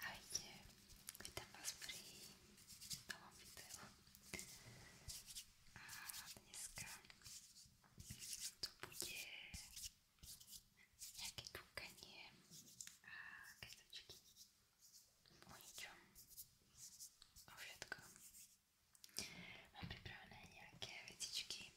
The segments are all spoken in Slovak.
Ahojte, vítam vás pri novom videu a dneska to bude nejaké kúkanie a ketočky o ničom, o všetkom. Mám pripravené nejaké vecičky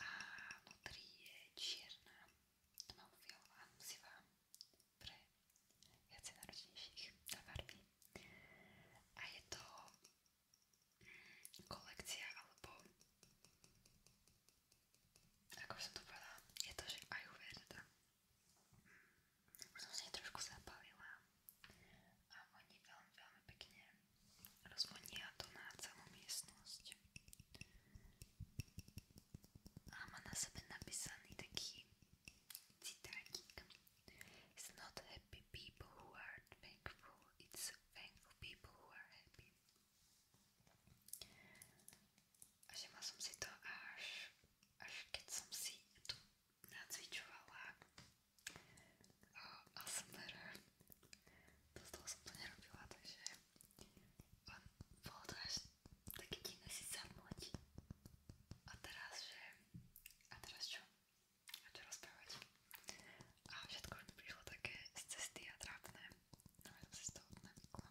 a vnútri je čierna tmavfialová nosivá pre viacej náročnejších farby a je to mm, kolekcia alebo ako som to povedala, je to, že aj uverda. Mm, už som si trošku zapálila a oni veľmi, veľmi pekne rozvonia to na celú miestnosť. A má na sebe napísaný taký citátik It's not happy people who are thankful, it's thankful people who are happy. A žila som si to až, až keď som si tu nacvičovala ASMR. Dosť dlho som to nerobila, takže on, bolo to až také divné si zamlať. A teraz, že... A teraz čo? A čo rozprávať? A všetko mi prišlo také z cesty a trápne. No ja som si z toho navykla.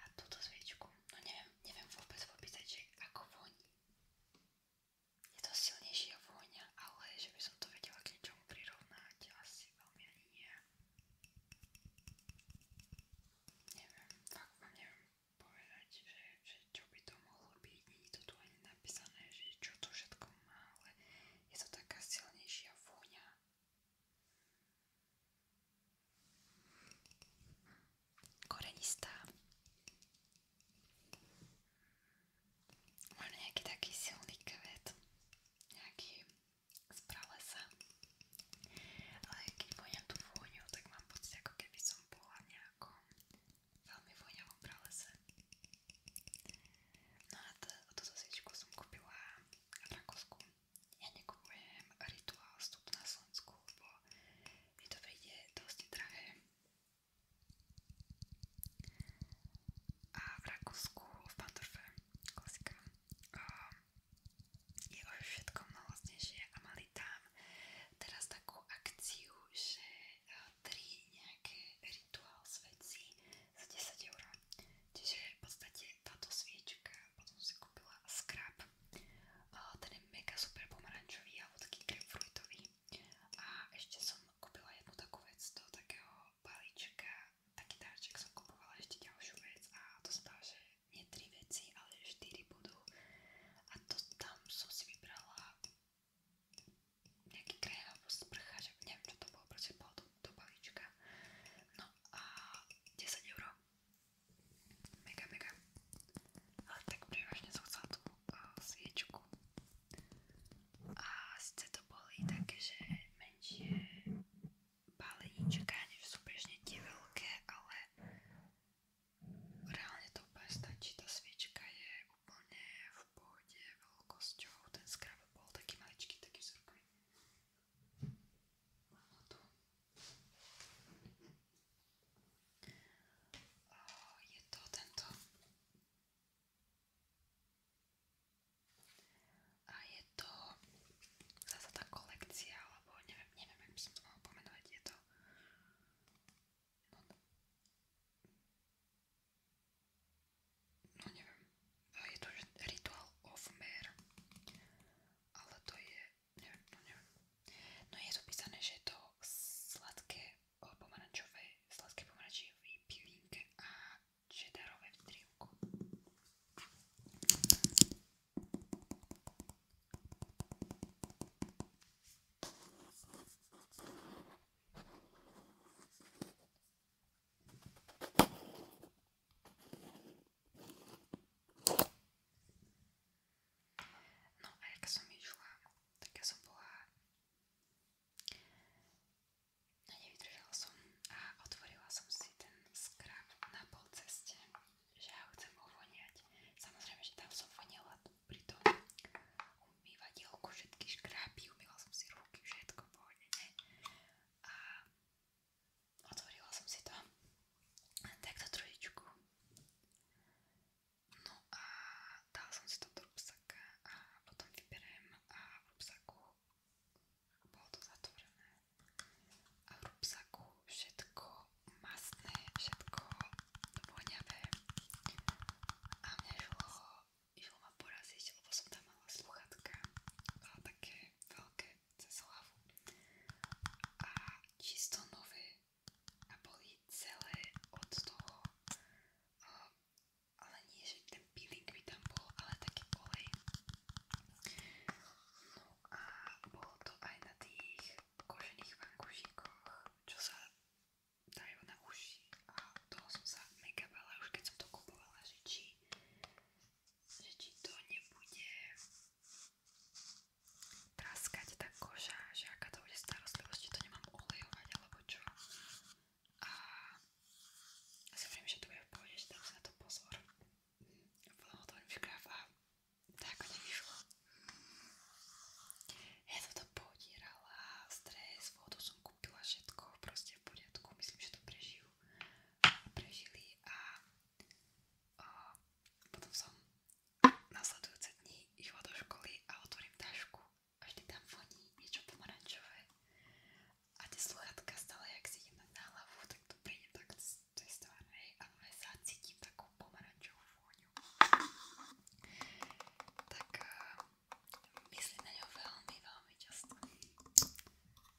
a túto sviečku, no neviem, neviem vôbec popísať, že ako voní. Je to silnejšia vôňa, ale že by som to vedela k niečomu prirovnať, asi veľmi ani nie. Neviem, fakt vám neviem povedať, že, že čo by to mohlo byť, nie je to tu ani napísané, že čo to všetko má, ale je to taká silnejšia vôňa korenistá. Mám nejaký taký silný kvet, nejaký z pralesa, ale keď voňam tú vôňu, tak mám pocit, ako keby som bola nejakom veľmi voňavom pralese. No a t- túto sviečku som kúpila v Rakúsku ja nekupujem rituál vstup na Slovensku, lebo mi to príde dosť drahé. A v Rakúsku, v Pandorfe, klasika, um, je už všetko mnoho lacnejšie a mali tam teraz takú akciu, že e, tri nejaké rituál s veci za 10 eur. Čiže v podstate vlastne táto sviečka, potom si kúpila skrab. Ten je mega super pomarančový alebo taký grapefruitový. A ešte som kúpila jednu takú vec do takého balíčka, taký dáček som kúpovala ešte ďalšiu vec a to sa dá, že nie tri veci, ale štyri budú. A to tam som si vybrala nejaký krém alebo sprcha, že neviem čo to bolo, proste bolo do, do balíčka. No a 10 eur mega, mega. Ale tak prevažne som chcela tú uh, sviečku. A síce to boli také, že menšie balenička, než sú bežne tie veľké, ale reálne to úplne stačí. Tá sviečka je úplne v pohode veľkosťou. Ten skrab bol taký maličký, taký vzorkový. Mám tu. O, je to tento. A je to zase tá kolekcia, alebo neviem, neviem, jak by som to mohla pomenovať. Je to... No, no neviem. Je to Ritual of Mare ale to je, neviem, no neviem. No je tu písané, že je to sladké eh, pomarančové, sladké pomarančové pivinke a čedarové v drievku. No a jak som išla, tak ja som bola... No nevydržala som a otvorila som si ten skrab na polceste, že ja ho chcem ovoniať. Samozrejme, že tam som vonila pri tom umývadielku všetky škrápy, umýla som si ruky, všetko pohodne, A otvorila som si to takto trojičku no a dala som si to do rúbsaka a potom vyberiem a v rúbsaku bolo to zatvorené a v rúbsaku všetko masné, všetko voňavé a mňa išlo, išlo ma poraziť, lebo som tam mala sluchatka také veľké cez hlavu a čisto nové a boli celé od toho uh, ale nie, že ten peeling by tam bol, ale taký olej no a bolo to aj na tých kožených vankúšikoch, čo sa dajú na uši a toho som sa mega bala už keď som to kupovala, že či že či to nebude traskať tá koža, že aká to bude starostlivosť, či to nemám olejovať alebo čo. A ja si hovorím, že to bude v pohode, že dám si na to pozor. Potom otvorím škráv a tak to nevyšlo. Ja som to podierala, stres, vodu som kúpila všetko, proste v poriadku, myslím, že to prežijú a prežili a o, potom som nasledujúce dni išla do školy a otvorím tašku a vždy tam voní niečo pomarančové a tie sluchatka stále, jak si idem na hlavu, tak tu prídem tak z tej strany a zacítim no, takú pomarančovú vôňu. Tak eh, myslím na ňo veľmi, veľmi často.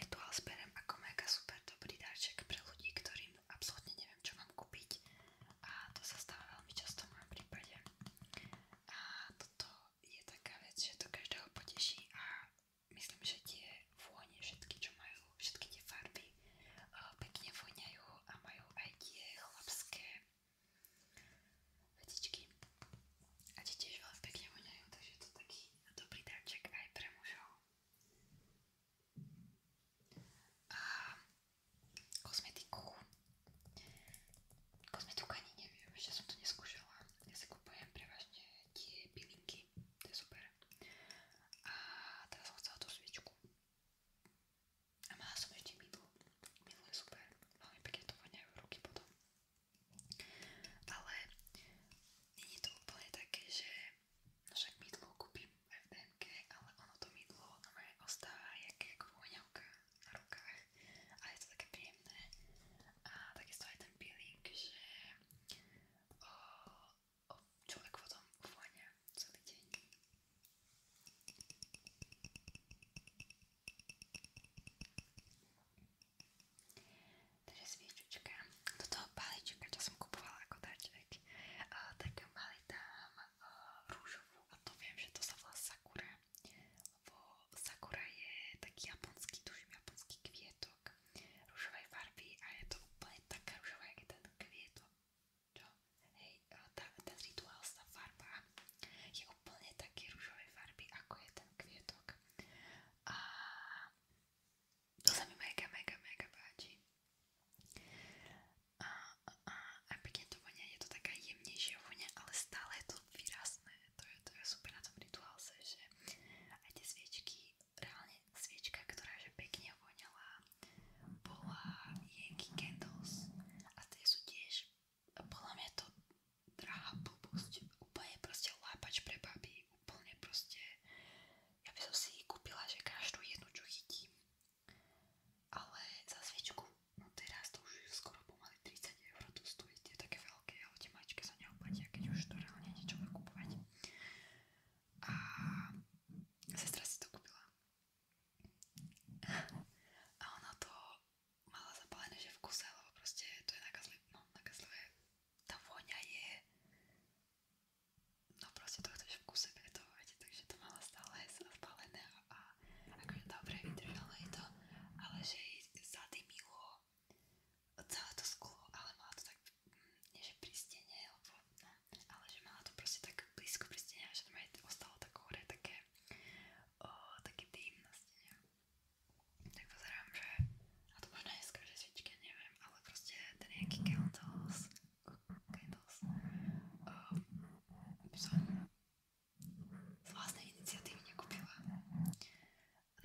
Rituál sperem ako mega super dobrý darček pre ľudí, ktorým absolútne neviem, čo mám kúpiť a to sa stáva veľmi často v mojom prípade. A toto je taká vec, že to každého poteší a myslím, že tie vône, všetky, čo majú, všetky tie farby eh, pekne voňajú a majú aj tie chlapské vetičky a tie tiež veľmi pekne voňajú, takže je to taký dobrý darček aj pre mužov. A kozmetiku. Kozmetiku ani neviem, ešte som to neskúšala. Ja si kupujem prevažne tie pilinky, to je super. A teraz som chcela tú sviečku. A mala som ešte mydlo. Mydlo je super. Veľmi pekne to voňajú ruky potom. Ale nie je to úplne také, že no však mydlo kúpim aj v DMK, ale ono to mydlo normálne ostáva jak, jak voňavka na rukách. A je to také príjemné. A takisto aj ten peeling, že o, o, človek potom voňa celý deň. Takže sviečočka, do toho palička, čo som kupovala ako darček, uh, tak mali tam uh, rúžovú a to viem, že to sa volá sakura, lebo sakura je taký japonský, tuším japonský kvietok rúžovej farby a je to úplne taká rúžová, jak je ten kvietok, čo? hej, tá, ten rituál sa farbá. Je úplne také ružovej farby, ako je ten kvietok. A to sa mi mega, mega, mega páči. A, a, a pekne to vonia, je to taká jemnejšia vonia, ale stále je to výrazné. To je, to je super na tom rituálse, že aj tie sviečky, reálne sviečka, ktorá že pekne voňala, bola Yankee Candles a tie sú tiež podľa mňa to drahá blbosť, úplne proste lápač pre baby, úplne proste, ja by som si kúpila, že každú jednu, čo chytím, ale za sviečku, no teraz to už je skoro pomaly 30 eur, to stojí tie také veľké, ale tie maličké sa neoplatia, keď už to reálne niečo bude kupovať. A sestra si to kúpila a ona to mala zapálené, že v kuse, lebo proste to je nakazlivé, no nakazlivé, tá vôňa je, no proste to chceš v kuse pretovať, takže to mala stále zapálené a akože dobre vydržalo je to, ale že jej zadymilo celé to sklo, ale mala to tak, mm, nie že pri stene, lebo, no, ale že mala to proste tak blízko pri stene, že to ostalo tak hore také o, taký dým na stene. Tak pozerám, že, a to možno je z každej svičky, neviem, ale proste ten nejaký candles, candles, o, som z vlastnej iniciatívy nekúpila.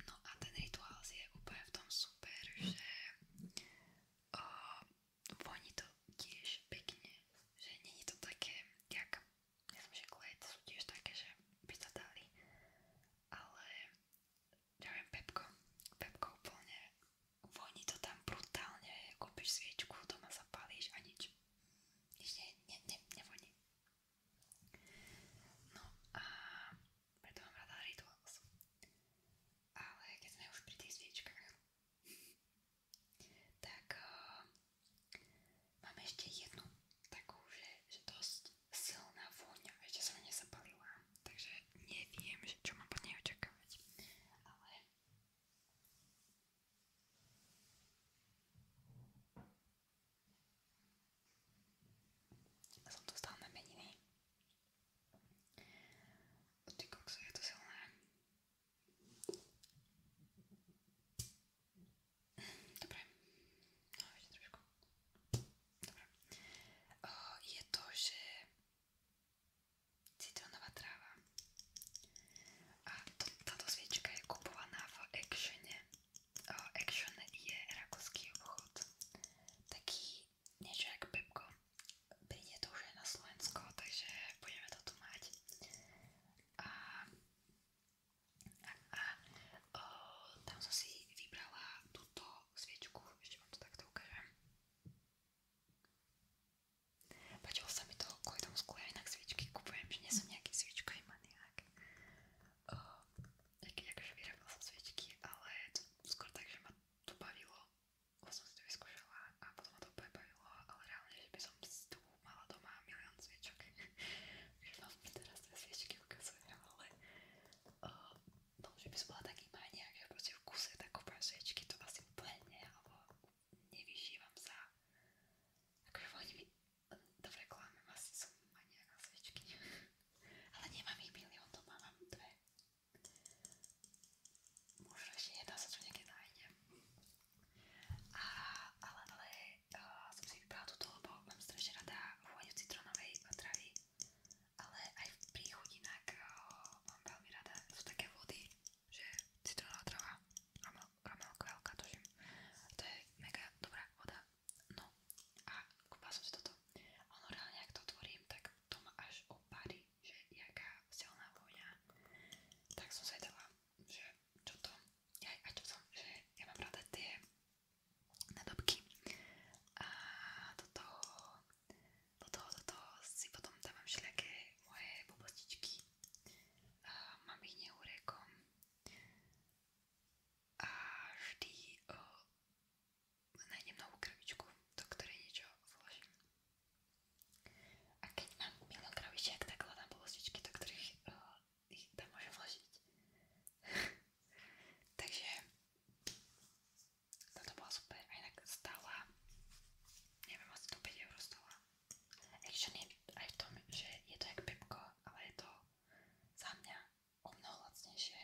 No a ten rituál je úplne v tom super, že o, voní to tiež pekne, že nie je to také, jak, ja som že klejt sú tiež také, že by sa dali, ale ja viem pepko, pepko úplne voní to tam brutálne, kúpiš sviečku, doma zapálíš a nič, nič ne, ne, ne, nevoní. No a preto mám rada Rituals. Ale keď sme už pri tých sviečkách, tak uh, mám ešte jednu takú, že, že dosť silná vôňa, ešte som nezapalila, takže neviem, že čo mám po nej očakávať, ale som dostala na meniny. Ty kokso, je to silné. Dobre. No, ešte trošku. Dobre. O, je to, že citrónová tráva. A to, táto sviečka je kupovaná v Actione. O, Action je rakúsky obchod. Taký niečo jak Pepko príde to už aj na Slovensko, takže budeme to tu mať. A, a, a o, tam som si vybrala túto sviečku, ešte vám to takto ukážem. Páčilo sa mi to kvôli tomu sklu, ja inak sviečky kupujem, že nie som nejaký sviečkový maniak. Akože vyrábala som sviečky, ale to skôr tak, že ma to bavilo už vlastne som si to vyskúšala a potom ma to úplne bavilo, ale reálne, že by som tu mala doma milión sviečok. Už vám teraz tie sviečky ukazujem, ale uh, no, že by som bola taký maniak, že proste v kuse tak kúpam sviečky, to asi úplne nie, alebo nevyžívam sa. Akože voľni mi do reklamy asi som maniak na sviečky. ale nemám ich milión doma, mám dve. Možno ešte nedá sa tu niekde nájdem. A, ale ale uh, som si vybrala túto, lebo mám strašne rada vôňu citronovej potravy. Ale aj v príchutinách uh, mám veľmi rada. Sú také vody, že citronová trava, ramelkovelka, tuším. To je mega dobrá voda. No a kúpila som si toto. Ono reálne, ak to otvorím, tak to ma až opári že jaká silná vôňa, tak som zvedala, že čo to, ja, a čo som, že ja mám rada tie nadobky a do toho, do toho, do toho si potom dávam všelijaké moje bobostičky, a mám ich neúrekom a vždy o, nájdem novú krabičku, do ktorej niečo vložím. A keď mám milión krabičiek, tak hľadám polostičky, do ktorých uh, ich tam môžem vložiť. Takže toto bola super, aj tak stála, neviem, asi to 5 eur stála. Action je aj v tom, že je to jak pepko, ale je to za mňa o mnoho lacnejšie,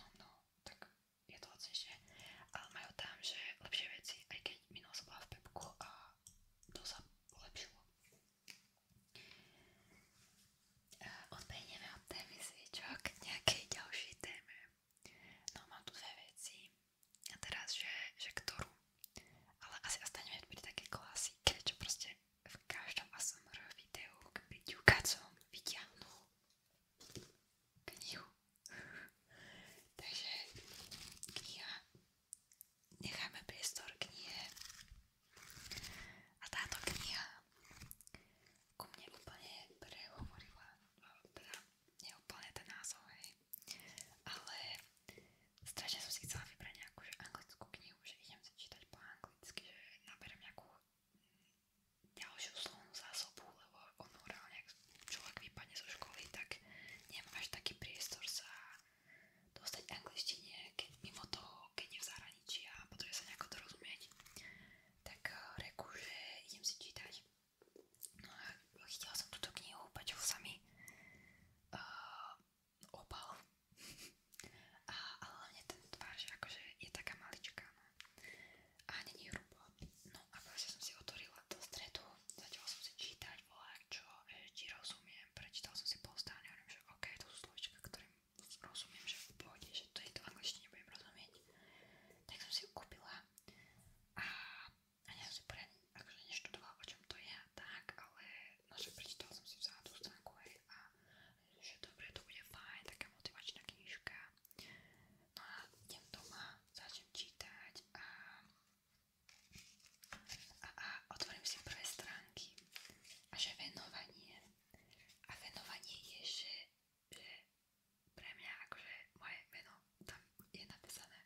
o mnoho, tak je to lacnejšie, ale majú tam, že lepšie veci, aj keď minul som bola v Pepku a to sa polepšilo. Eh, Odbehneme od témy sviečok k nejakej ďalšej téme. No mám tu dve veci a teraz, že, že ktorú, ale asi ostaneme pri také klasike, čo proste v každom ASMR videu k byťu kacom vyťahnú knihu. Takže kniha, necháme priestor knihe a táto kniha ku mne úplne prehovorila, teda nie úplne ten názov, hej. ale strašne som si chcela vybrať nejakú že anglickú knihu, že idem si čítať po anglicky, že naberem nejakú ďalšiu slovnú zásobu, lebo on reálne, ak človek vypadne zo školy, tak nemá až taký priestor sa dostať k angličtine, keď mimo toho, keď je v zahraničí a potrebuje sa nejako dorozumieť, tak eh, reku, že idem si čítať. No a chytila som túto knihu, páčil sa mi uh, eh, opal. a, ale hlavne ten tvár, že akože je taká maličká, no a není hrubo. No a proste som si otvorila do stredu, začala som si čítať, volať, čo, či eh, rozumiem, prečítal som si polstán, neviem, že ok, to sú slovička, ktorým rozumiem, že v pohode, že to je to v angličtine, budem rozumieť. Tak som si ju kúpila a, a ja som si poriadne, akože neštudovala, o čom to je a tak, ale no, že prečítala som si vzala tú stránku, hej, a že dobre, to bude fajn, taká motivačná knižka. No a idem doma, začnem čítať a, a, a otvorím si prvé stránky. A že venovanie. A venovanie je, že, že pre mňa akože moje meno tam je napísané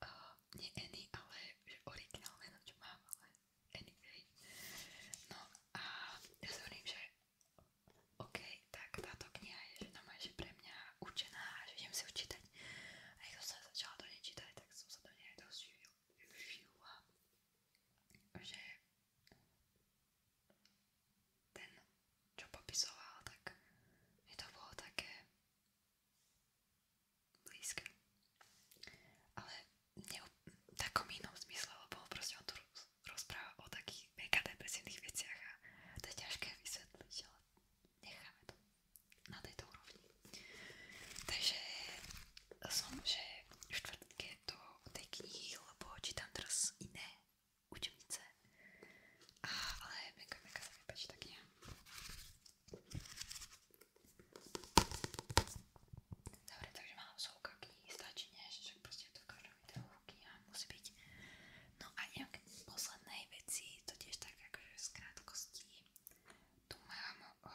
uh, nie Annie, ale že originál meno, čo mám, ale anyway. No a ja sa hovorím, že OK, tak táto kniha je že pre mňa určená a že idem si ju čítať. A keď som sa začala do nej čítať, tak som sa do nej aj dosť využila, že ten, čo popisoval, tak mi to bolo také blízke. Ale ne v takom inom zmysle, lebo proste on tu rozpráva o takých mega depresívnych veciach a to je ťažké vysvetliť, ale necháme to na tejto úrovni. Takže som, že v štvrtke do tej knihy, lebo čítam teraz iné učebnice. A, ale mega, mega sa mi páči tá kniha. Dobre, takže mám slovka knihy, stačí, nie? Že proste je to v akože robiť dlhky a musí byť. No a nejak poslednej veci, to tiež tak akože z krátkosti, tu mám o,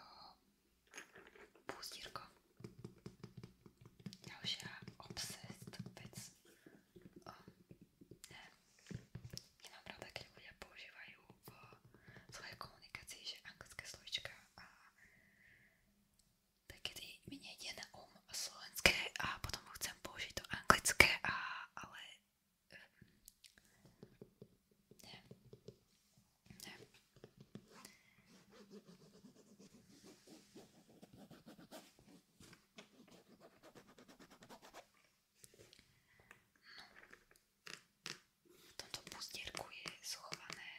púzdírko. Ďalšia obsest vec. O, ne. Nemám rada, keď ľudia používajú v svojej komunikácii, že anglické slovička a tak kedy mi nejde na um slovenské a potom chcem použiť to anglické, a, ale ehm, ne, ne. No. V tomto pustierku je schované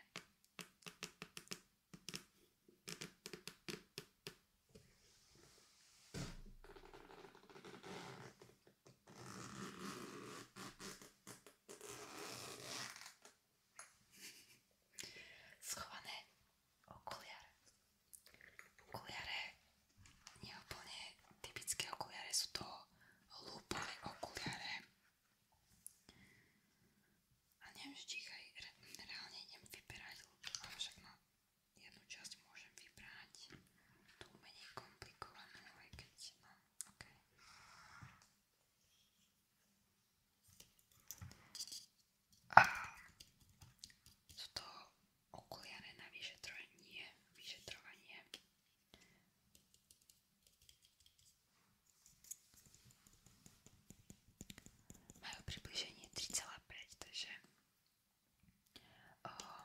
Schované okuliare. Okuliare nie úplne typické okuliare, sú to lúpové okuliare. A nevždychaj, re, reálne idem vyberať, ale však na jednu časť môžem vybrať tú menej komplikovanú, aj keď, no, ok. A sú to okuliare na vyšetrovanie, vyšetrovanie. Majú približenie 3,5, takže uh,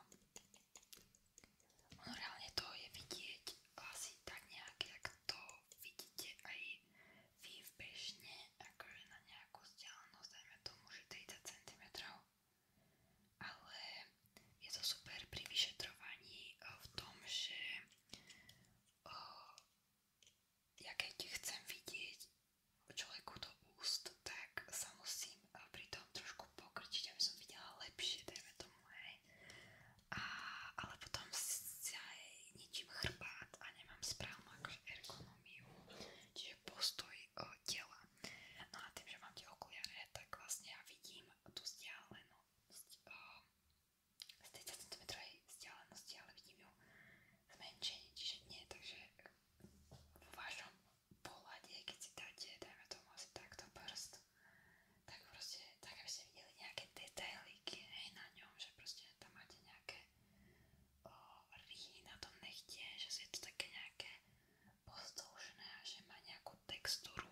ono reálne to je vidieť asi tak nejak, jak to vidíte aj vy v bežne, akože na nejakú vzdialenosť, dajme tomu, že 30 cm. Ale je to super pri vyšetrovaní v tom, že uh, ja keď chcem vidieť človeku do úst, tak sa musím eh, pri tom trošku pokrčiť, aby som videla lepšie, dajme tomu, hej. A, ale potom sa aj ničím chrbát a nemám správnu akože ergonómiu, čiže postoj o, eh, tela. No a tým, že mám tie okuliare, tak vlastne ja vidím tú vzdialenosť eh, z tej centimetrovej vzdialenosti, ale vidím ju zmenšenie, čiže nie, takže v vašom pohľade, keď si dáte, dajme tomu asi takto prst, tak proste, tak aby ste videli nejaké detailíky, hej, na ňom, že proste tam máte nejaké o, rýhy na tom nechtie, že je to také nejaké pozdĺžné a že má nejakú textúru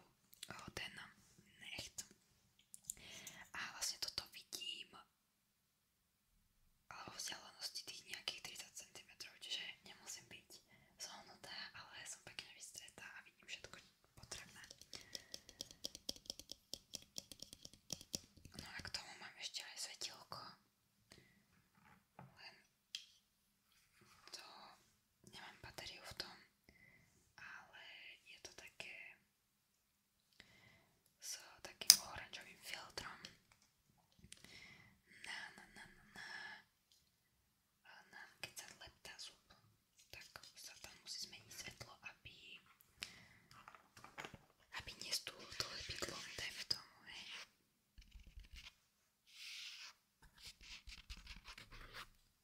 o, ten necht. A vlastne toto vidím ale vo vzdialenosti tých nejakých 30 cm, čiže nemusím byť zohnutá, ale som pekne vystretá a vidím všetko potrebné. No a k tomu mám ešte aj svetilko, len to nemám batériu v tom, ale je to také s takým oranžovým filtrom na na na na na, na keď sa leptá zub, tak sa tam musí zmeniť svetlo, aby aby nestúlo to lepidlo, dajme tomu, hej. No,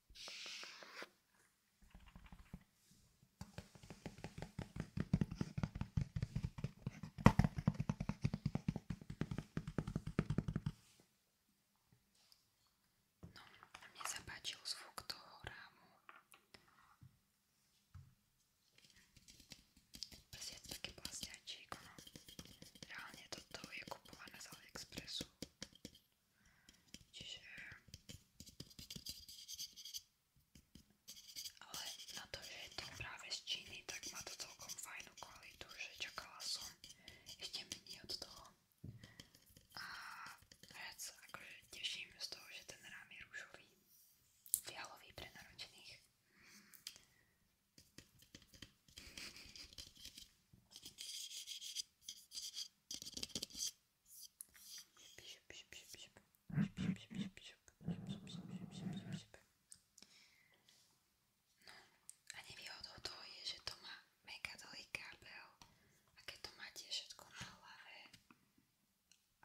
mne sa páčil zvuk toho rámu. Bez je také plastiačík, no. Reálne toto je kupované z AliExpressu. Čiže... Ale na to, že je to práve z Číny, tak má to celkom fajnú kvalitu, že čakala som ešte menej od toho. A viac sa akože teším z toho, že ten rám je rúžový, fialový pre naročených. No a nevýhodou toho je, že to má mega dlhý kábel a keď to máte všetko na hlave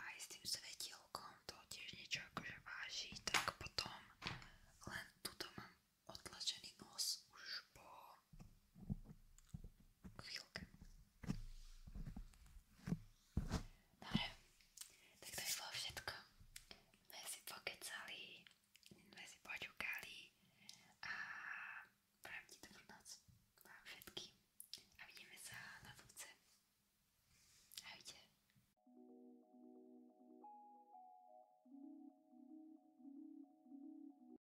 aj s tým svetielkom to tiež niečo akože váži, tak potom len tuto mám otlačený nos už po Chvíľka. Dobre, tak to je bolo všetko. My si pokecali, my si počúkali a prajem ti dobrú noc vám všetkým a vidíme sa na budúce. Ahojte.